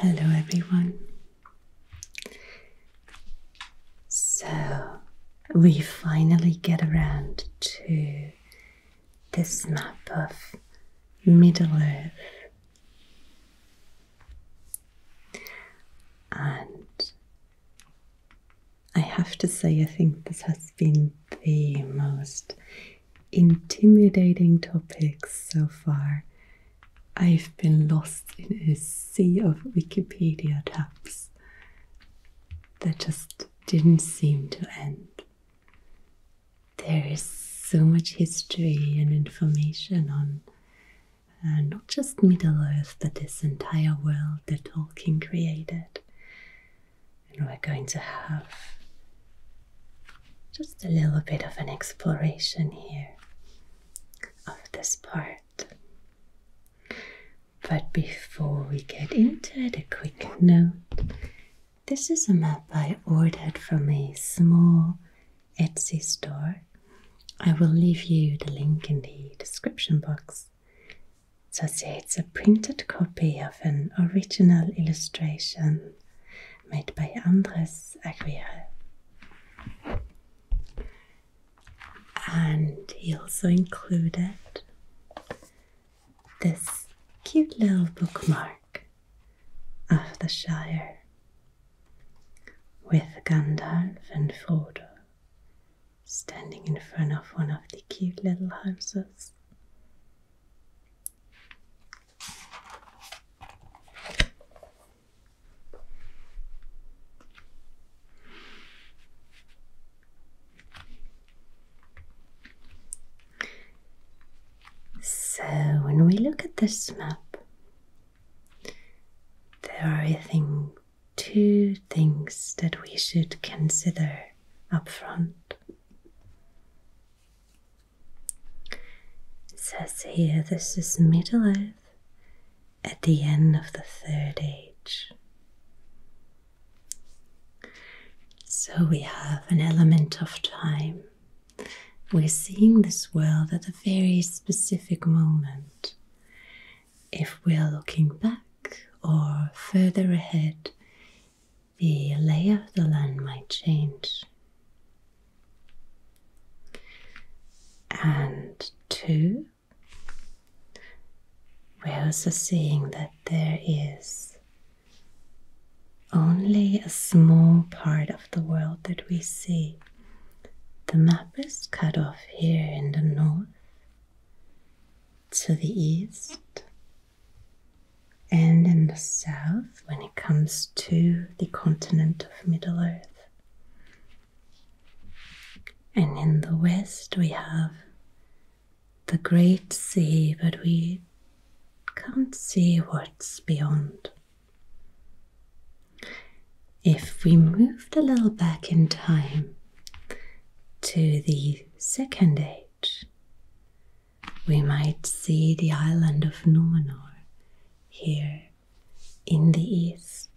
Hello everyone. So we finally get around to this map of Middle Earth. And I have to say, I think this has been the most intimidating topics so far. I've been lost in a sea of Wikipedia tabs that just didn't seem to end. There is so much history and information on not just Middle Earth, but this entire world that Tolkien created. And we're going to have just a little bit of an exploration here of this part. But before we get into it, a quick note. This is a map I ordered from a small Etsy store. I will leave you the link in the description box. So, see, it's a printed copy of an original illustration made by Andres Aguirre. And he also included this cute little bookmark of the Shire with Gandalf and Frodo standing in front of one of the cute little houses. So, when we look at this map, there are, I think, two things that we should consider up front. It says here this is Middle Earth at the end of the Third Age. So we have an element of time. We're seeing this world at a very specific moment. If we are looking back or further ahead, the layer of the land might change. And two, we're also seeing that there is only a small part of the world that we see. The map is cut off here in the north, to the east, and in the south when it comes to the continent of Middle Earth. And in the west, we have the Great Sea, but we can't see what's beyond. If we moved a little back in time to the second age, we might see the island of Numenor here in the east.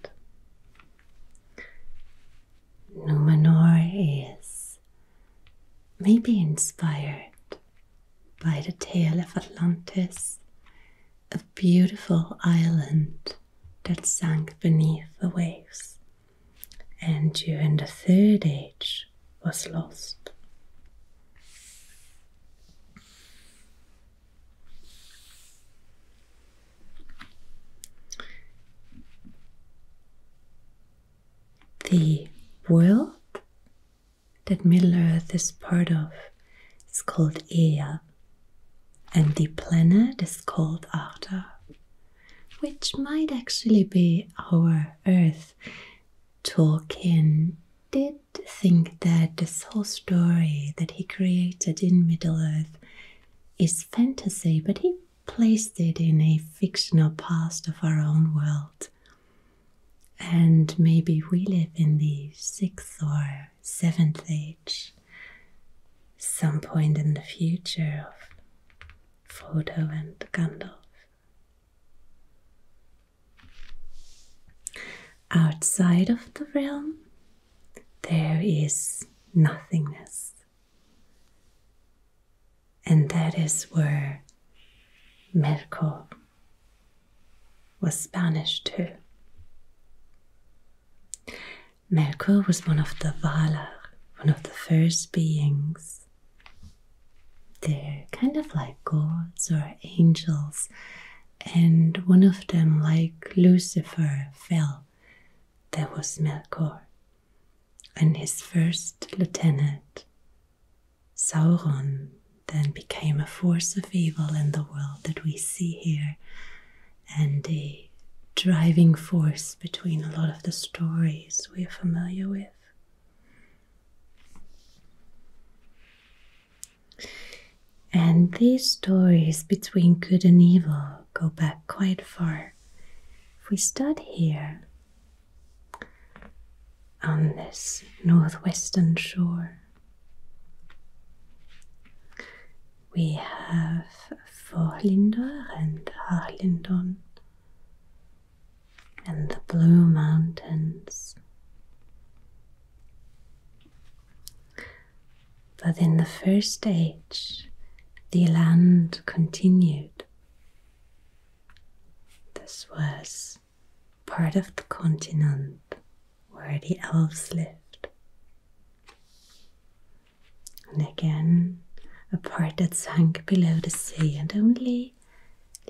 Numenor is maybe inspired by the tale of Atlantis, a beautiful island that sank beneath the waves. And during the Third Age, was lost. The world that Middle Earth is part of is called Ea, and the planet is called Arda, which might actually be our Earth Tolkien did think that this whole story that he created in Middle Earth is fantasy, but he placed it in a fictional past of our own world. And maybe we live in the sixth or seventh age, some point in the future of Frodo and Gandalf. Outside of the realm, there is nothingness. And that is where Merko was banished to. Merko was one of the Valar, one of the first beings they're kind of like gods or angels, and one of them, like Lucifer, fell. That was Melkor, and his first lieutenant, Sauron, then became a force of evil in the world that we see here, and a driving force between a lot of the stories we're familiar with. And these stories between good and evil go back quite far. If we start here on this northwestern shore, we have Forlindor and Harlindon and the Blue Mountains. But in the first age, the land continued. This was part of the continent where the elves lived. And again, a part that sank below the sea and only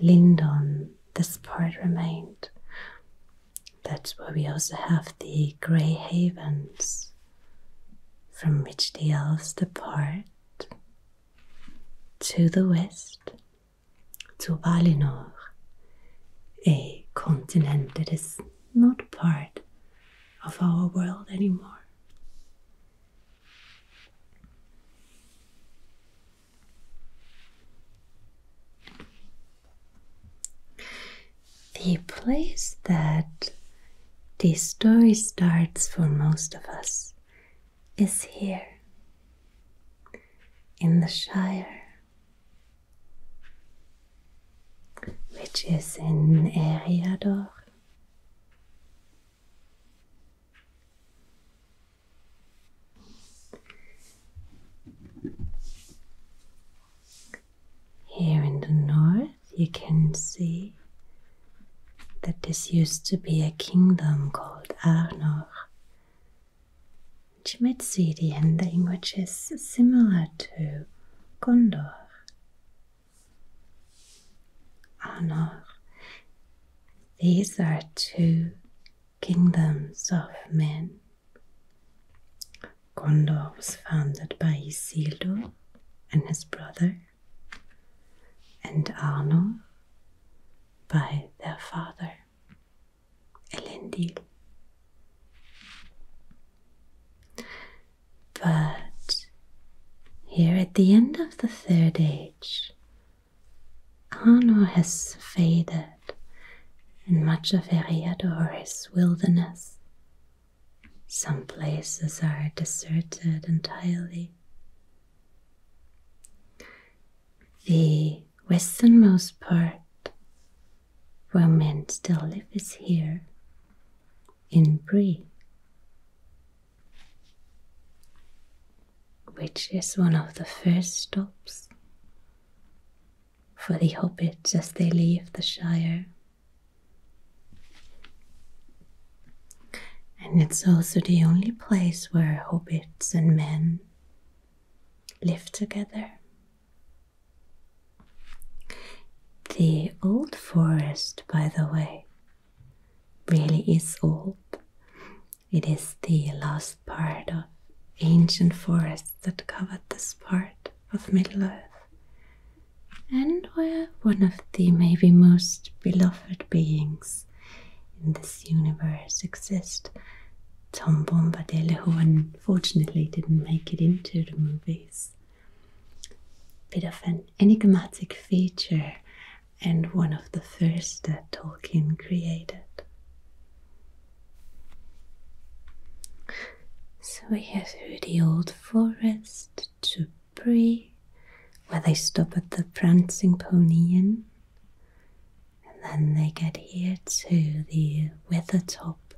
Lindon, this part remained. That's where we also have the grey havens from which the elves depart to the west to Valinor, a continent that is not part of our world anymore. The place that the story starts for most of us is here in the Shire, which is in Eriador. Here in the north, you can see that this used to be a kingdom called Arnor, which you might see the ending, which is similar to Gondor. Arnor these are two kingdoms of men. Gondor was founded by Isildur and his brother, and Arnor by their father, Elendil. But here at the end of the Third Age, Kano has faded, and much of Eriador is wilderness. Some places are deserted entirely. The westernmost part where men still live is here in Brie which is one of the first stops for the hobbits as they leave the Shire. And it's also the only place where hobbits and men live together. The old forest, by the way, really is old. It is the last part of ancient forests that covered this part of Middle Earth and where one of the maybe most beloved beings in this universe exists. Tom Bombadil, who unfortunately didn't make it into the movies. Bit of an enigmatic feature and one of the first that Tolkien created. So we have through the old forest to Bree, where they stop at the Prancing Pony Inn, and then they get here to the Wither top,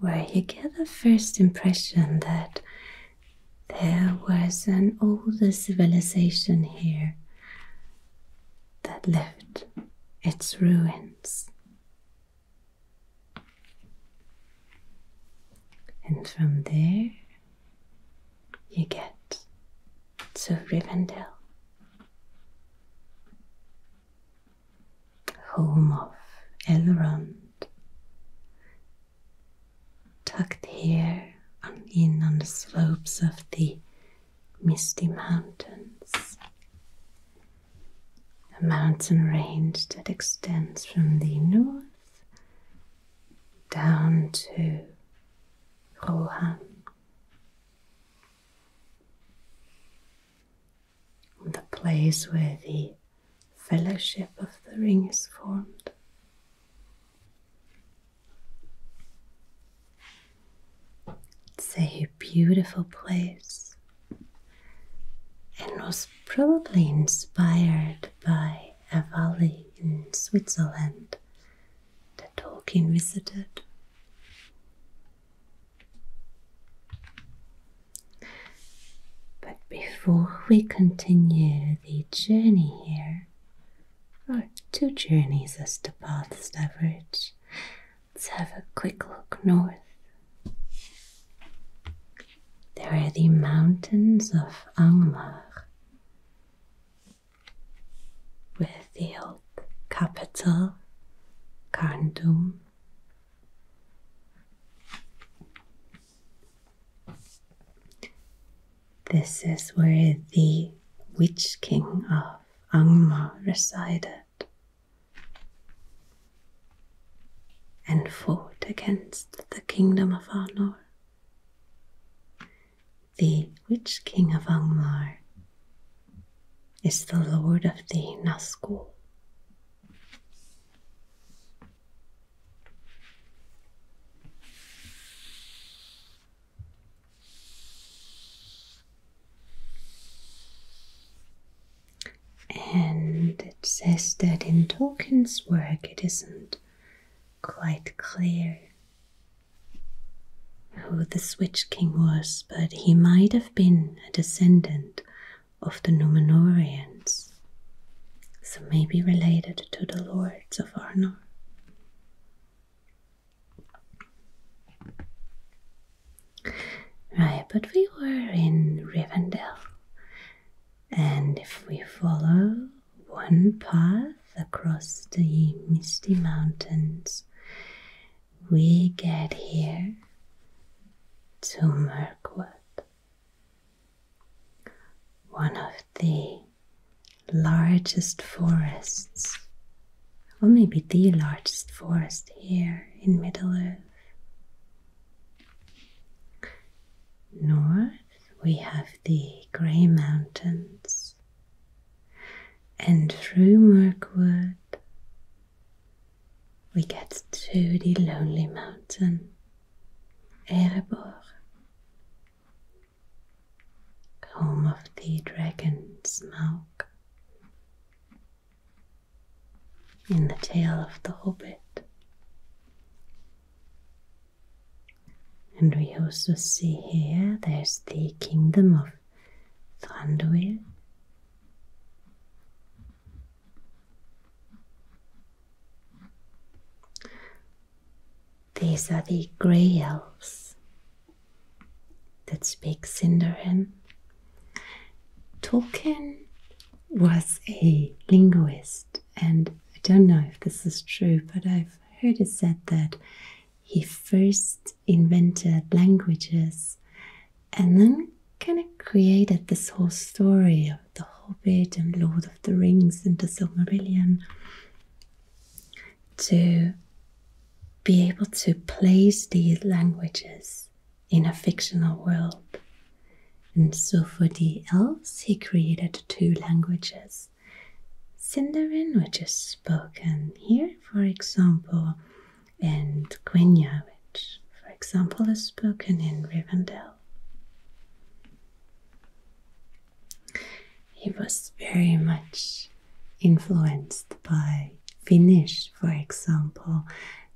where you get the first impression that there was an older civilization here that left its ruins. And from there you get to Rivendell, home of Elrond tucked here on, in on the slopes of the misty mountains. A mountain range that extends from the north down to Rohan. The place where the fellowship of the ring is formed. It's a beautiful place and was probably inspired by a valley in Switzerland that Tolkien visited. But before we continue the journey here, or two journeys as the paths diverge, let's have a quick look north. There are the mountains of Angmar, with the old capital, Karndum. This is where the witch king of Angmar resided and fought against the kingdom of Arnor. The witch king of Angmar is the lord of the Nazgul. And it says that in Tolkien's work it isn't quite clear who the Switch King was, but he might have been a descendant of the Numenorians, so maybe related to the lords of Arnor. Right, but we were in Rivendell, and if we follow one path across the misty mountains, we get here to Mirkwood one of the largest forests, or maybe the largest forest here in Middle Earth. North, we have the Grey Mountains, and through Mirkwood, we get to the Lonely Mountain. Erebor, home of the dragon Smaug. In the tale of the Hobbit, and we also see here there's the kingdom of Thranduil. These are the grey elves that speak Sindarin. Tolkien was a linguist, and I don't know if this is true, but I've heard it said that he first invented languages and then kind of created this whole story of the Hobbit and Lord of the Rings and the Silmarillion to be able to place these languages in a fictional world. And so for the elves, he created two languages. Sindarin, which is spoken here, for example, and Quenya, which, for example, is spoken in Rivendell. He was very much influenced by Finnish, for example,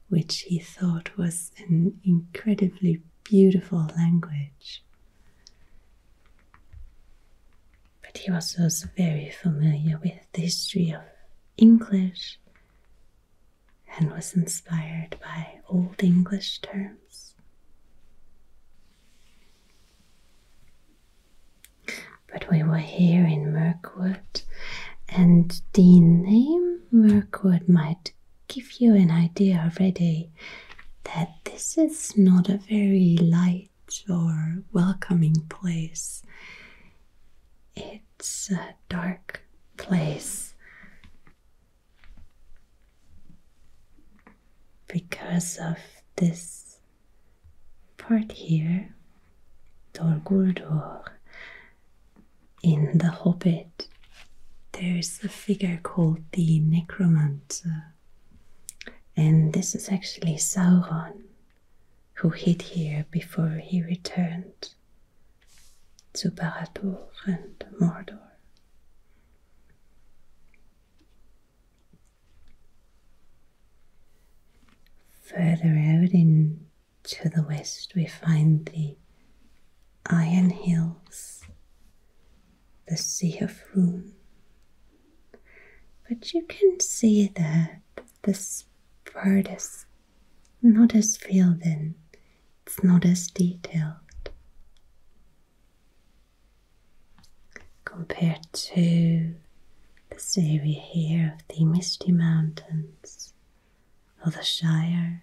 which he thought was an incredibly beautiful language. But he was also very familiar with the history of English and was inspired by Old English terms. But we were here in Mirkwood, and the name Mirkwood might give you an idea already that this is not a very light or welcoming place. It's a dark place because of this part here, Dol Guldur, in The Hobbit, there's a figure called the Necromancer, and this is actually Sauron who hid here before he returned to Baradur and Mordor. Further out in to the west, we find the Iron Hills, the Sea of Rune. But you can see that this the is not as filled in it's not as detailed compared to the scenery here of the Misty Mountains or the Shire.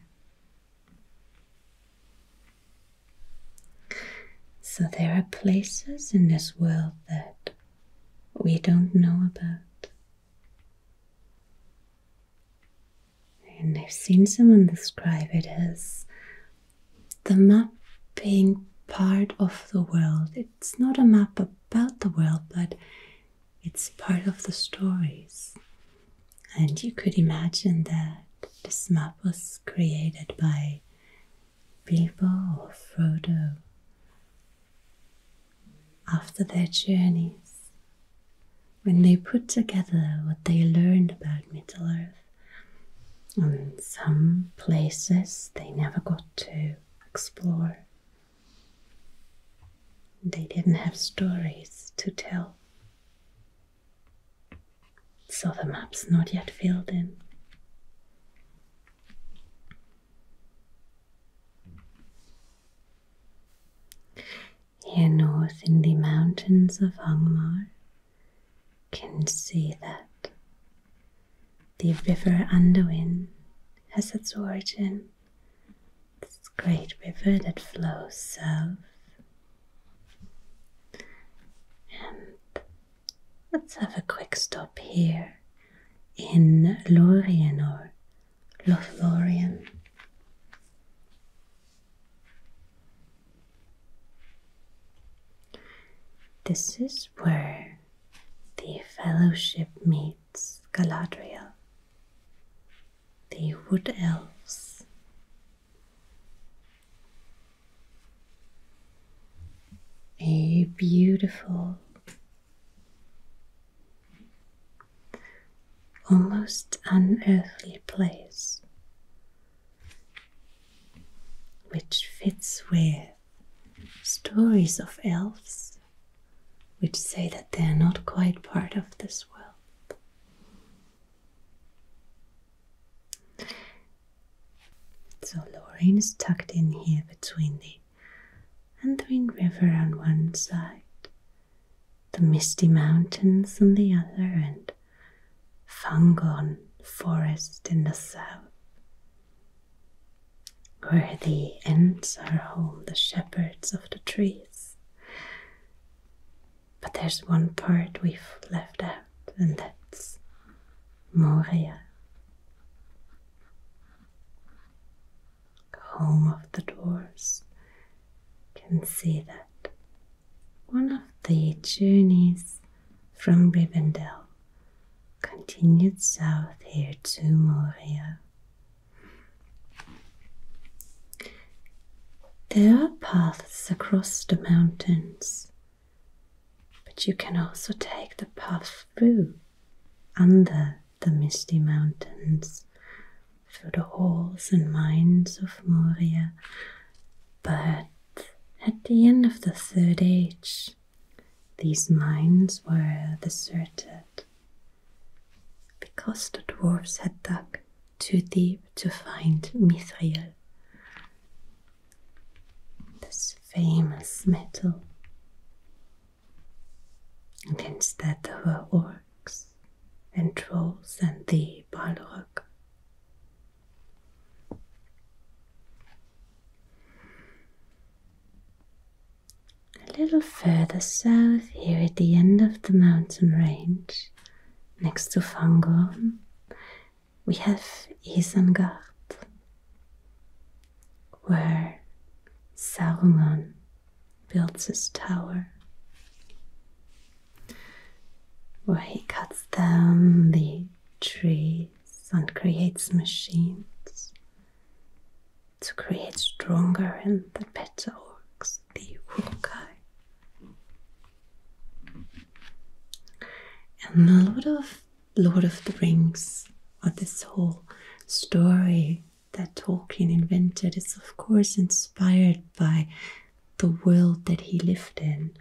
So there are places in this world that we don't know about and I've seen someone describe it as the map being part of the world. It's not a map about the world, but it's part of the stories. And you could imagine that this map was created by Bilbo or Frodo after their journeys when they put together what they learned about Middle Earth. And some places they never got to explore. They didn't have stories to tell. So the map's not yet filled in here north in the mountains of Hongmar can see that the river Anduin has its origin, this great river that flows south. And let's have a quick stop here in Lorienor Lothlorien. This is where the Fellowship meets Galadriel, the Wood Elves. A beautiful almost unearthly place, which fits with stories of elves which say that they are not quite part of this world. So Lorraine is tucked in here between the Anduin River on one side the misty mountains on the other, and Fangorn forest in the south, where the Ents are home, the shepherds of the trees. But there's one part we've left out, and that's Moria home of the dwarves can see that one of the journeys from Rivendell continued south here to Moria. There are paths across the mountains, but you can also take the path through under the misty mountains, through the halls and mines of Moria. But at the end of the Third Age, these mines were deserted because the dwarves had dug too deep to find mithril, this famous metal and instead, of her orcs and trolls and the Balrog. A little further south, here at the end of the mountain range, next to Fangorn, we have Isengard, where Saruman builds his tower, where he cuts down the trees and creates machines to create stronger and better orcs, the uruk And a lot of Lord of the Rings, or this whole story that Tolkien invented is, of course, inspired by the world that he lived in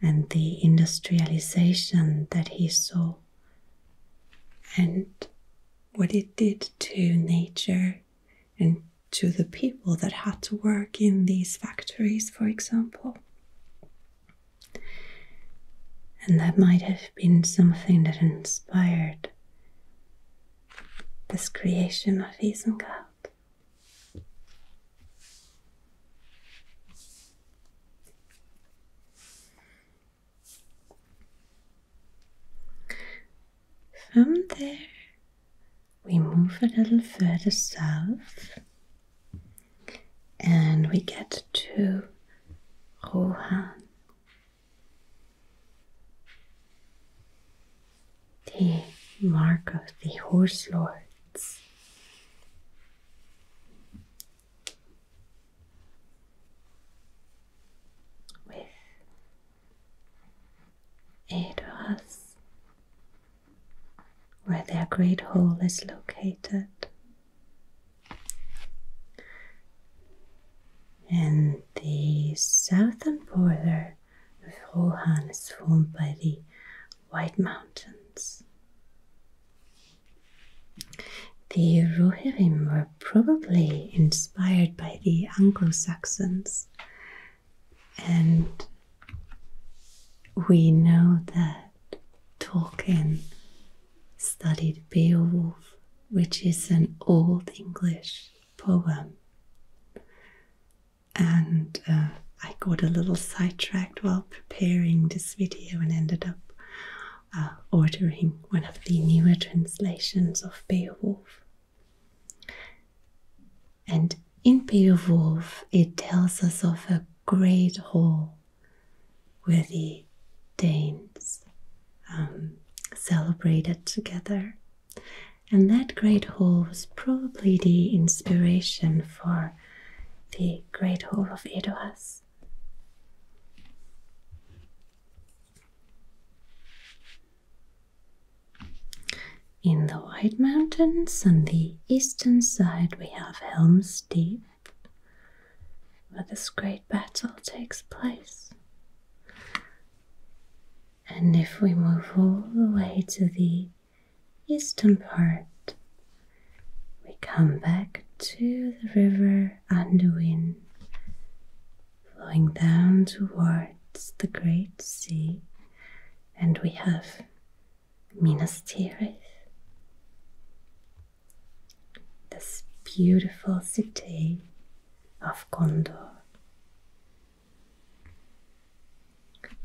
and the industrialization that he saw and what it did to nature and to the people that had to work in these factories, for example. And that might have been something that inspired this creation of Isengard. From there, we move a little further south and we get to Rohan. The mark of the horse lords. With it where their great hall is located. And the southern border of Rohan is formed by the White Mountains. The Rohirrim were probably inspired by the Anglo Saxons, and we know that Tolkien studied Beowulf which is an old English poem. And uh, I got a little sidetracked while preparing this video and ended up uh, ordering one of the newer translations of Beowulf. And in Beowulf, it tells us of a great hall where the Danes um, celebrated together. And that great hall was probably the inspiration for the Great Hall of Edoas. In the White Mountains on the eastern side, we have Helm's Deep, where this great battle takes place. And if we move all the way to the eastern part, we come back to the river Anduin, flowing down towards the Great Sea, and we have Minas Tirith, this beautiful city of Gondor.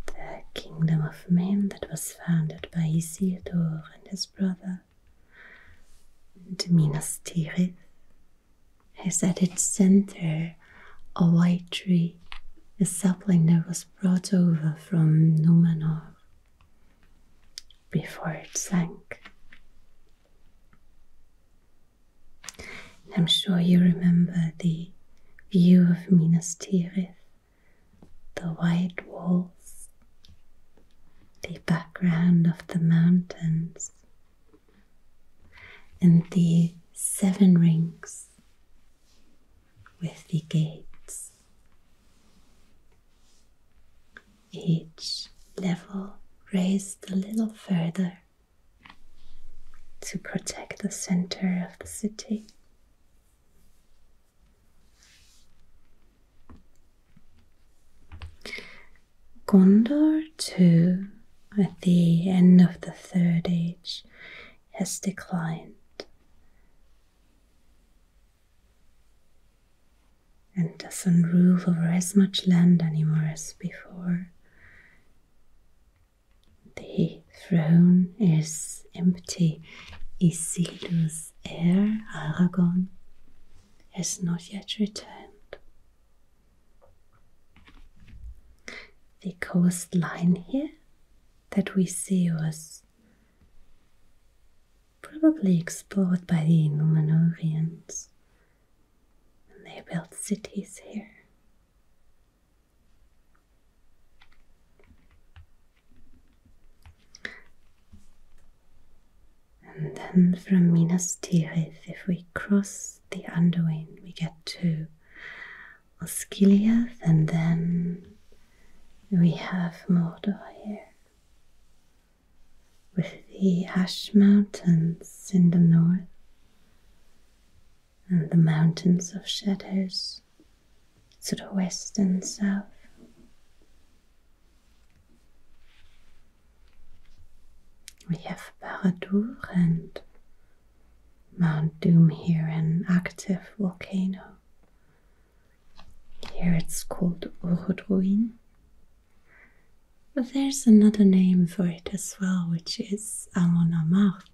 The kingdom of men that was founded by Isildur and his brother, the Minas Tirith, has at its center a white tree, a sapling that was brought over from Numenor before it sank I'm sure you remember the view of Minas Tirith, the white walls, the background of the mountains, and the seven rings with the gates each level raised a little further to protect the center of the city. Gondor, too, at the end of the Third Age, has declined and doesn't rule over as much land anymore as before. The throne is empty. Isildur's heir, Aragorn, has not yet returned. The coastline here that we see was probably explored by the Numenorians and they built cities here. And then from Minas Tirith, if we cross the Anduin, we get to Osgiliath, and then we have Mordor here with the Ash Mountains in the north and the Mountains of Shadows to the west and south. We have Baradur and Mount Doom here, an active volcano. Here it's called Urudruin but there's another name for it as well, which is Amon Amarth,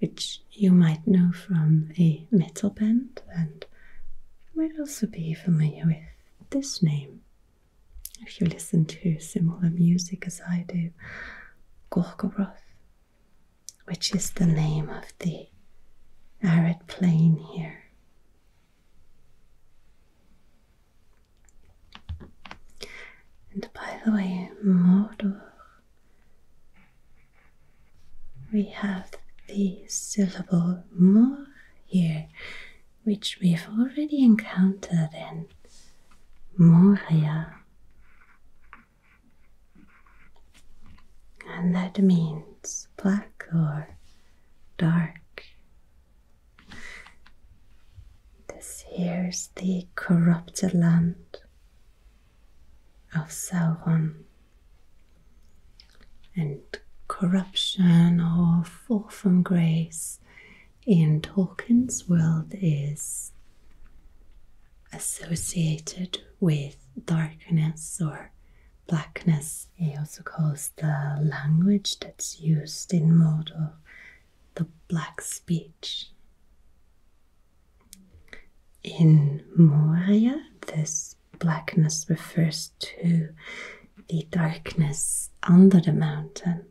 which you might know from a metal band and might also be familiar with this name. If you listen to similar music as I do, Gorgoroth, which is the name of the arid plain here and by the way, Mordor, we have the syllable "mor" here, which we've already encountered in Moria. And that means black or dark this here's the corrupted land of Sauron, and corruption or fall from grace in Tolkien's world is associated with darkness or blackness. He also calls the language that's used in Mordor the black speech. In Moria, this blackness refers to the darkness under the mountain.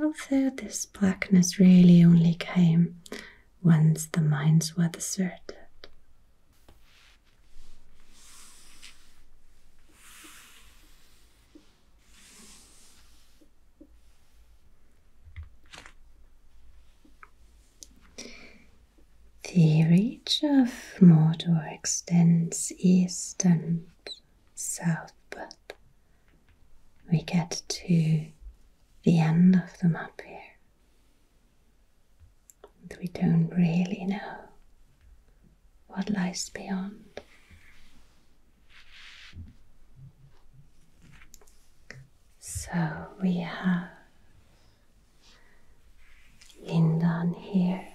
Although this blackness really only came once the mines were deserted. The reach of Mordor extends east and south, but we get to the end of the map here and we don't really know what lies beyond. So we have Lindan here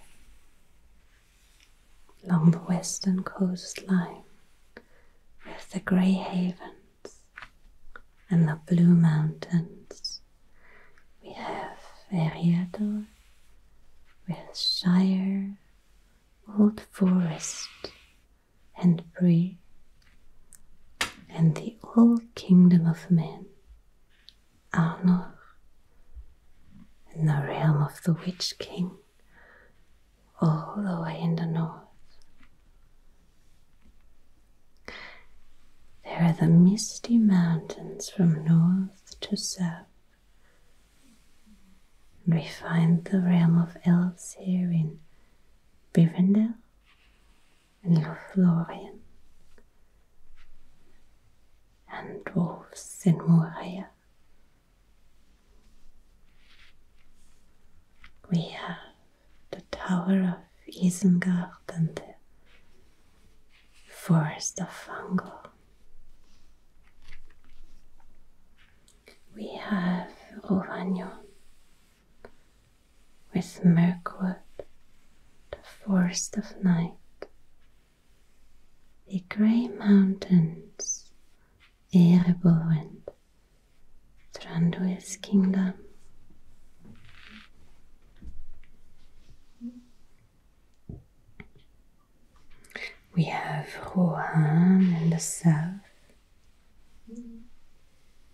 along the western coastline with the grey havens and the blue mountains we have Eriador, we Shire, Old Forest, and Bree, and the old kingdom of men, Arnor, and the realm of the Witch King, all the way in the north. There are the misty mountains from north to south. And we find the realm of elves here in Bivendel and Lothlorien, and dwarfs in Moria. We have the Tower of Isengard out the forest of fungal. We have Rovagnon with Mirkwood, the forest of night, the grey mountains, and Tranduil's kingdom. We have Rohan in the south,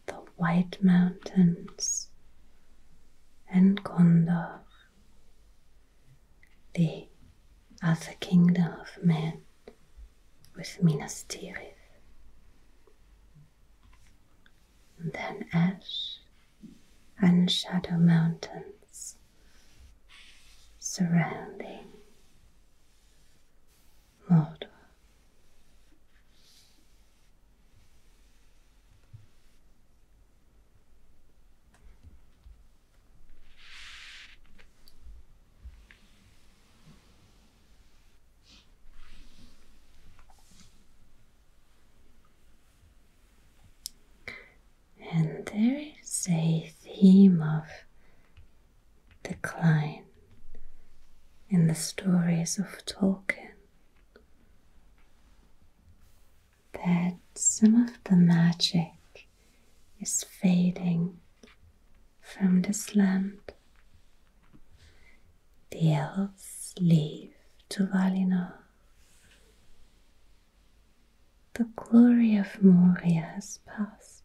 the White Mountains, and Gondor, the other kingdom of men, with Minas Tirith. then Ash and shadow mountains surrounding Mordor. And there is a theme of decline in the stories of Tolkien that some of the magic is fading from this land. The elves leave to Valinor the glory of Moria has passed.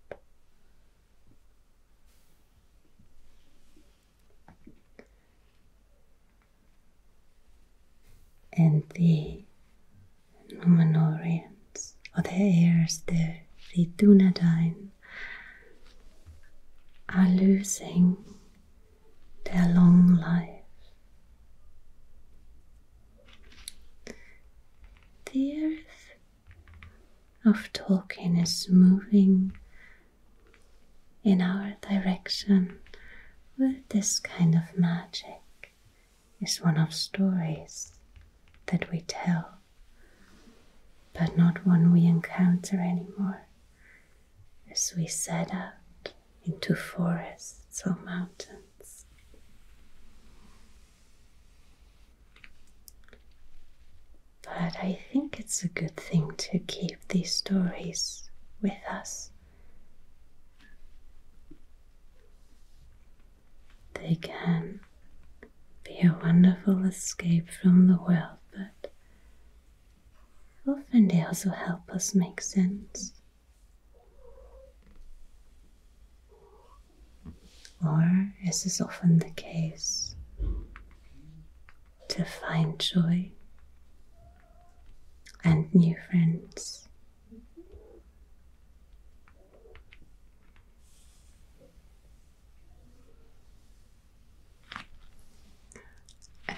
And the Numenorians, or the heirs, the Ridunadine, are losing their long life. The earth of Tolkien is moving in our direction with this kind of magic, is one of stories that we tell, but not one we encounter anymore as we set out into forests or mountains. But I think it's a good thing to keep these stories with us. They can be a wonderful escape from the world, but Often they also help us make sense or, as is often the case, to find joy and new friends.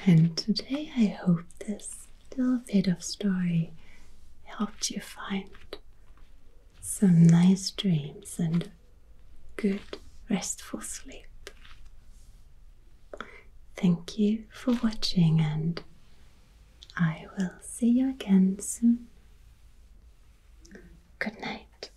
And today I hope this little bit of story helped you find some nice dreams and good restful sleep. Thank you for watching and I will see you again soon. Good night.